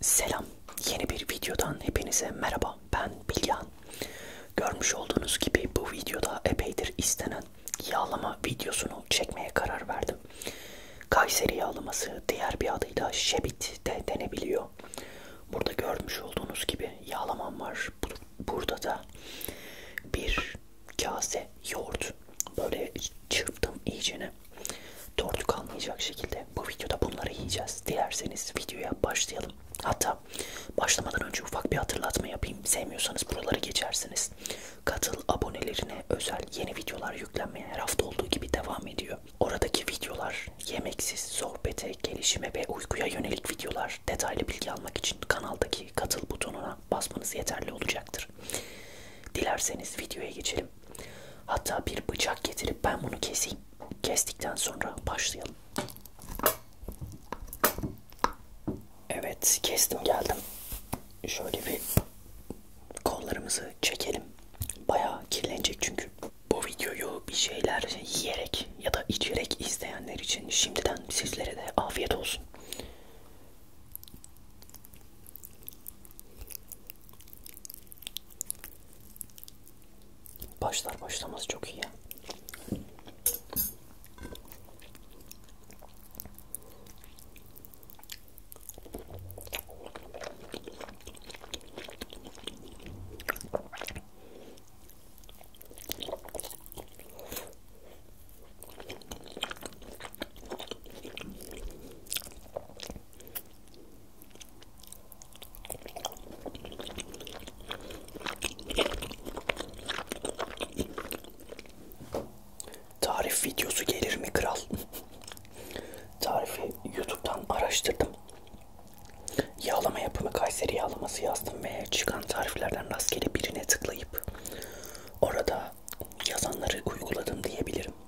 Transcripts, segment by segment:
Selam, yeni bir videodan hepinize merhaba. Ben Bilgehan. Görmüş olduğunuz gibi bu videoda epeydir istenen yağlama videosunu çekmeye karar verdim. Kayseri yağlaması diğer bir adıyla şebit de denebiliyor. Burada görmüş olduğunuz gibi yağlamam var. Burada da bir kase yoğurt. Böyle çırptım iyicene. Tortu kalmayacak şekilde bu videoda bunları yiyeceğiz. Dilerseniz videoya başlayalım. Hatta başlamadan önce ufak bir hatırlatma yapayım. Sevmiyorsanız buraları geçersiniz. Katıl abonelerine özel yeni videolar yüklenmeye her hafta olduğu gibi devam ediyor. Oradaki videolar yemeksiz, sohbete, gelişime ve uykuya yönelik videolar. Detaylı bilgi almak için kanaldaki katıl butonuna basmanız yeterli olacaktır. Dilerseniz videoya geçelim. Hatta bir bıçak getirip ben bunu keseyim. Kestikten sonra başlayalım. Evet kestim geldim. Şöyle bir kollarımızı çekelim. Bayağı kirlenecek çünkü. Bu videoyu bir şeyler yiyerek ya da içerek izleyenler için şimdiden sizlere de afiyet olsun. Başlar başlamaz çok iyi ya. Tarif videosu gelir mi kral? Tarifi YouTube'dan araştırdım. Yağlama yapımı Kayseri yağlaması yazdım ve çıkan tariflerden rastgele birine tıklayıp orada yazanları uyguladım diyebilirim.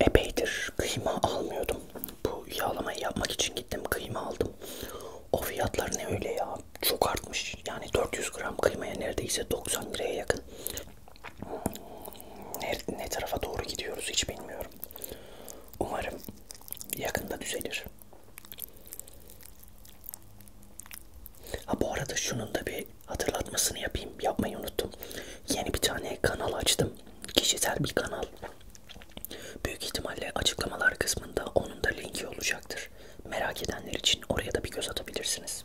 Epeydir kıyma almıyordum. Bu yağlamayı yapmak için gittim kıyma aldım. O fiyatlar ne öyle ya? Çok artmış. Yani 400 gram kıymaya neredeyse 90 liraya yakın. Hmm, ne, ne tarafa doğru gidiyoruz hiç bilmiyorum. Umarım yakında düzelir. Ha bu arada şunun da bir hatırlatmasını yapayım. Yapmayı unuttum. Yeni bir tane kanal açtım. Kişisel bir kanal. Büyük ihtimalle açıklamalar kısmında onun da linki olacaktır. Merak edenler için oraya da bir göz atabilirsiniz.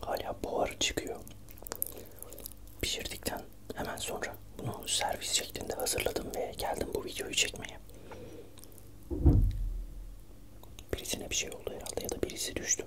Hala buharı çıkıyor. Pişirdikten hemen sonra bunu servis şeklinde hazırladım ve geldim bu videoyu çekmeye. Birisine bir şey oldu herhalde ya da birisi düştü.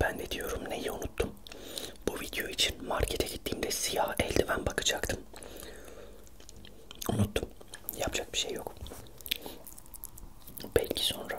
Ben de diyorum neyi unuttum. Bu video için markete gittiğimde siyah eldiven bakacaktım. Unuttum. Yapacak bir şey yok. Belki sonra.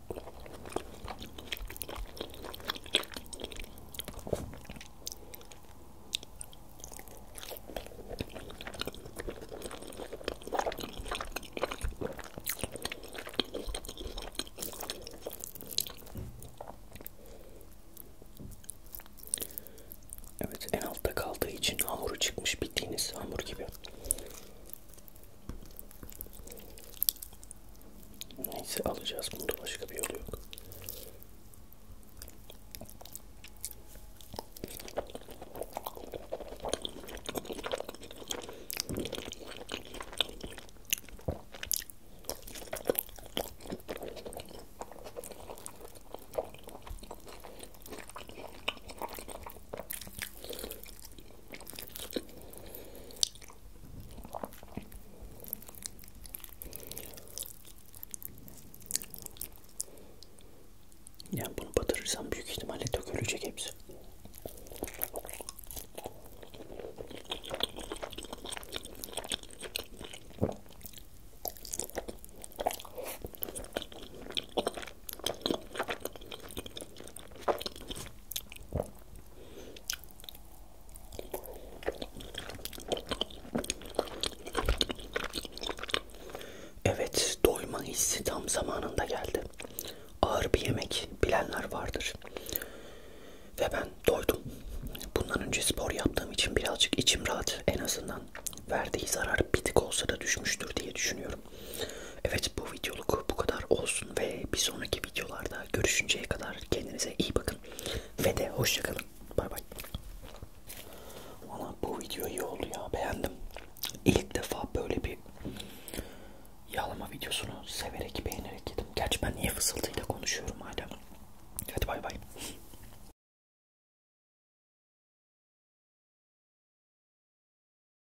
Evet en altta kaldığı için hamuru çıkmış bildiğiniz hamur gibi. Neyse alacağız. Bunda başka bir yolu yok. Yani bunu batırırsam büyük ihtimalle dökülecek hepsi. Evet, doyma hissi tam zamanında geldi. Ağır bir yemek bilenler vardır. Ve ben doydum. Bundan önce spor yaptığım için birazcık içim rahat. En azından verdiği zarar bir tık olsa da düşmüştür diye düşünüyorum düşünüyorum. Evet bu videoluk bu kadar olsun ve bir sonraki videolarda görüşünceye kadar kendinize iyi bakın ve de hoşçakalın. Bay bay. Valla bu video iyi oldu ya beğendim. İlk defa böyle bir yağlama videosunu severek beğenerek yedim. Gerçi ben niye fısıltıyla konuşuyorum hala. Hadi bay bay.